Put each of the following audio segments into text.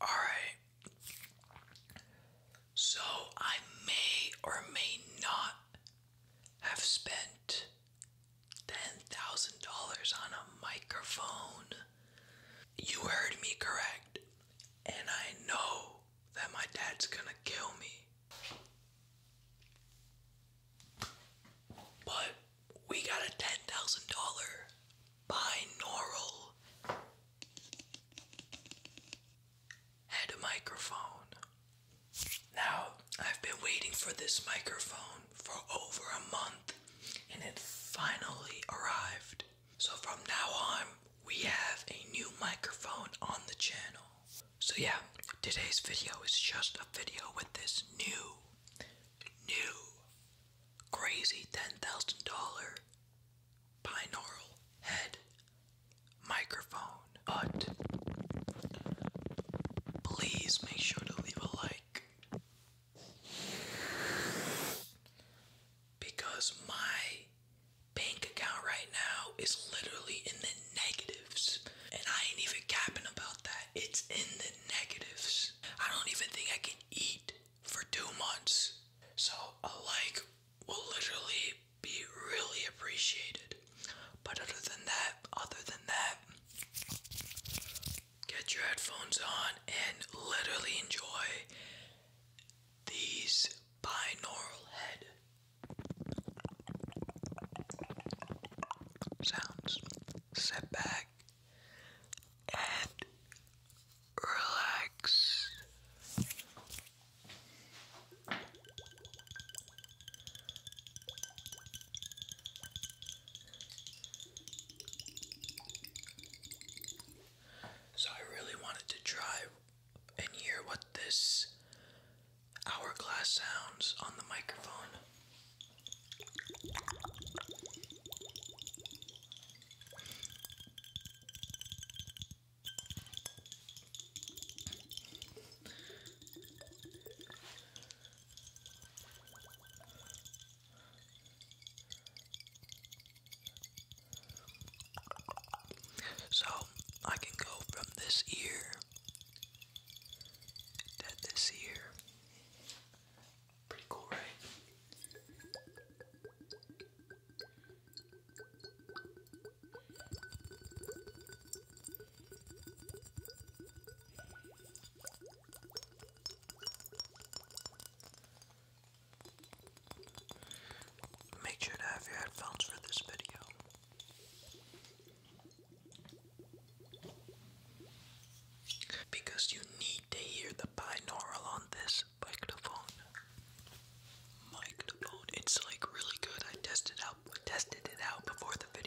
All right. So I may or may not have spent $10,000 on a microphone you heard me correct. And I know that my dad's gonna kill me. But we got a $10,000 binaural head microphone. Now, I've been waiting for this microphone for over a month and it finally arrived. So from now on, we have a new microphone on the channel. So yeah, today's video is just a video with this new, new, crazy $10,000 binaural head microphone. But please make sure to leave a like because my bank account right now is literally in the negatives. And I ain't even capping about that. It's in the negatives. I don't even think I can eat for two months. So a like will literally be really appreciated. But other than that, other than that, get your headphones on and literally enjoy these binaural head sounds. Sit back and relax. So I really wanted to try and hear what this hourglass sounds on the microphone. So I can go from this ear to this ear. Pretty cool, right? Make sure to have your headphones for this video. Because you need to hear the binaural on this microphone. Microphone. It's like really good. I tested out tested it out before the video.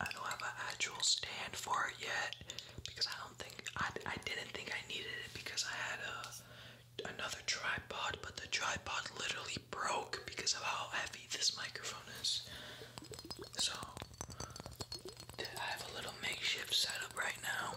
I don't have an actual stand for it yet because I don't think I, I didn't think I needed it because I had a another tripod, but the tripod literally broke because of how heavy this microphone is. So I have a little makeshift setup right now.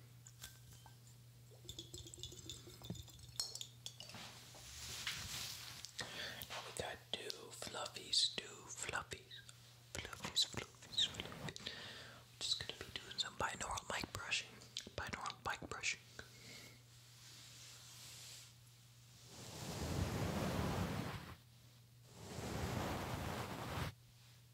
we got two fluffies, two fluffies, fluffies, fluffies, are just gonna be doing some binaural mic brushing, binaural mic brushing.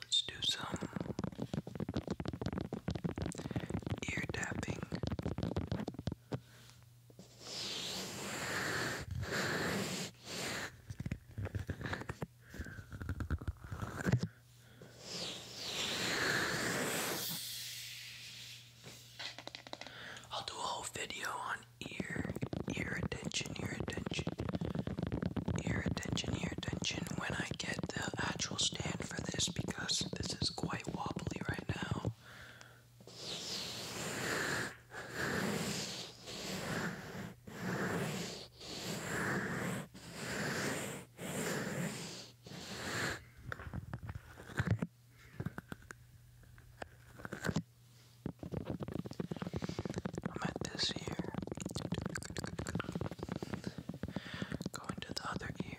Let's do some ear tapping. I'll do a whole video on ear, ear attention, ear attention, ear attention, ear attention when I get the actual stand for this because this is quite wobbly right now. I'm at this ear. Going to the other ear.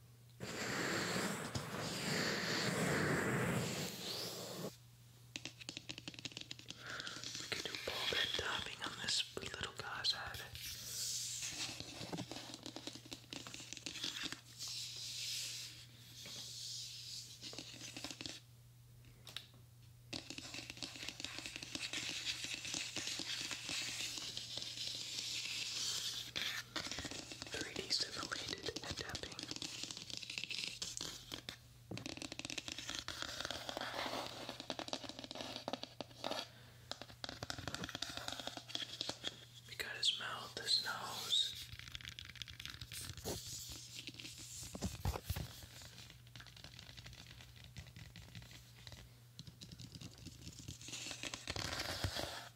We could do ball bed diving on this little guy's head. 3D simulated adapting. We got his mouth, his nose.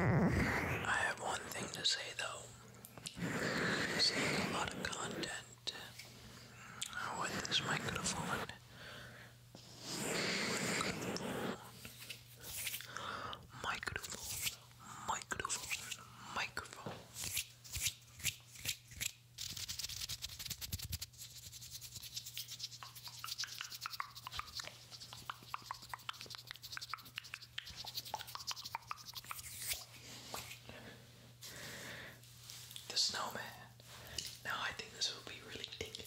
I have one thing to say though. seeing a lot of content with this microphone. Microphone, microphone, microphone, microphone. The snowman. Now I think this will be really thick.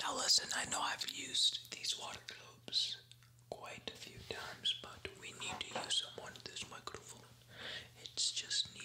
Now, listen, I know I've used these water globes quite a few times, but we need to use one of this microphone. It's just needed.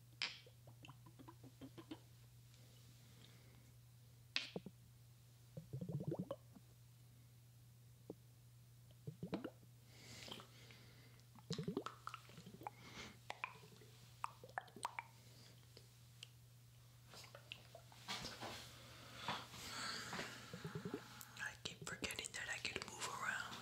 I keep forgetting that I can move around.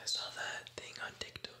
I saw that thing on TikTok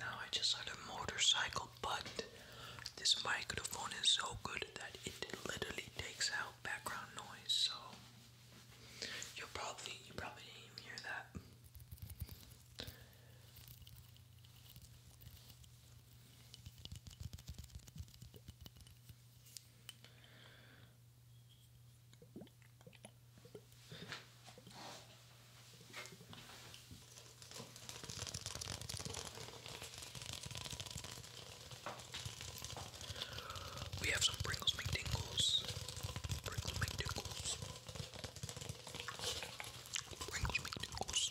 Now I just had a motorcycle, but this microphone is so good that it literally takes out background noise, so you'll probably you probably didn't hear that. We have some Pringles McDingles. Pringles McDingles. Pringles McDingles.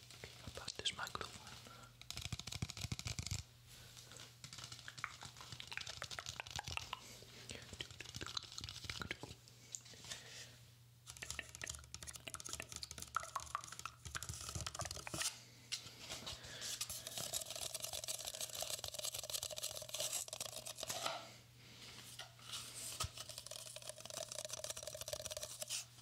about this microphone.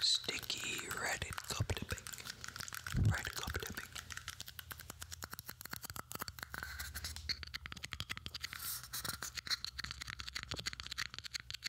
Sticky red cup dipping. Red cup dipping.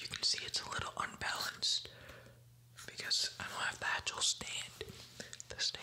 You can see it's a little unbalanced because I don't have the actual stand. The stand.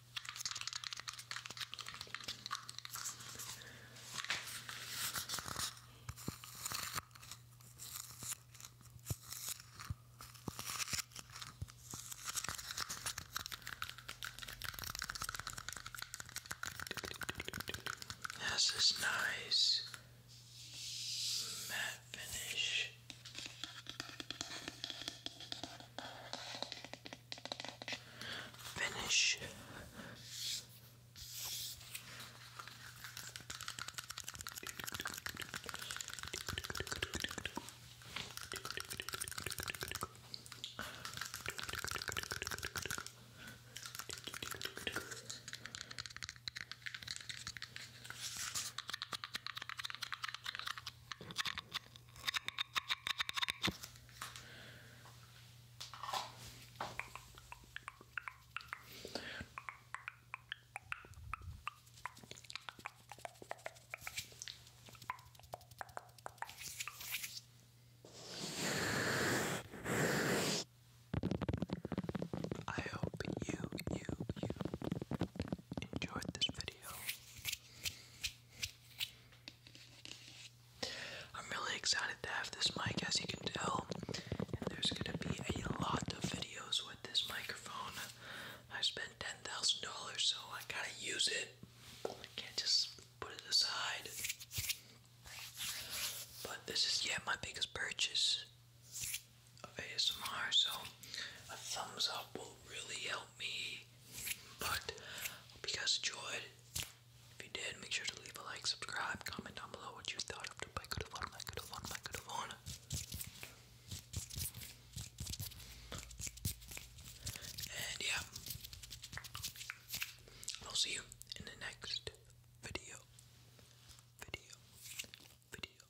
It has this nice matte finish. Finish. I hope you, you, you enjoyed this video. I'm really excited to have this mic, as you can tell. there's gonna be a lot of videos with this microphone. I spent ten thousand dollars, so I gotta use it. can't just put it aside. But this is yet yeah, my biggest purchase of ASMR, so a thumbs up will really help me. But hope you guys enjoyed. If you did, make sure to leave a like, subscribe, comment down below what you thought of And yeah, I'll see you in the next video. Video. Video. Video.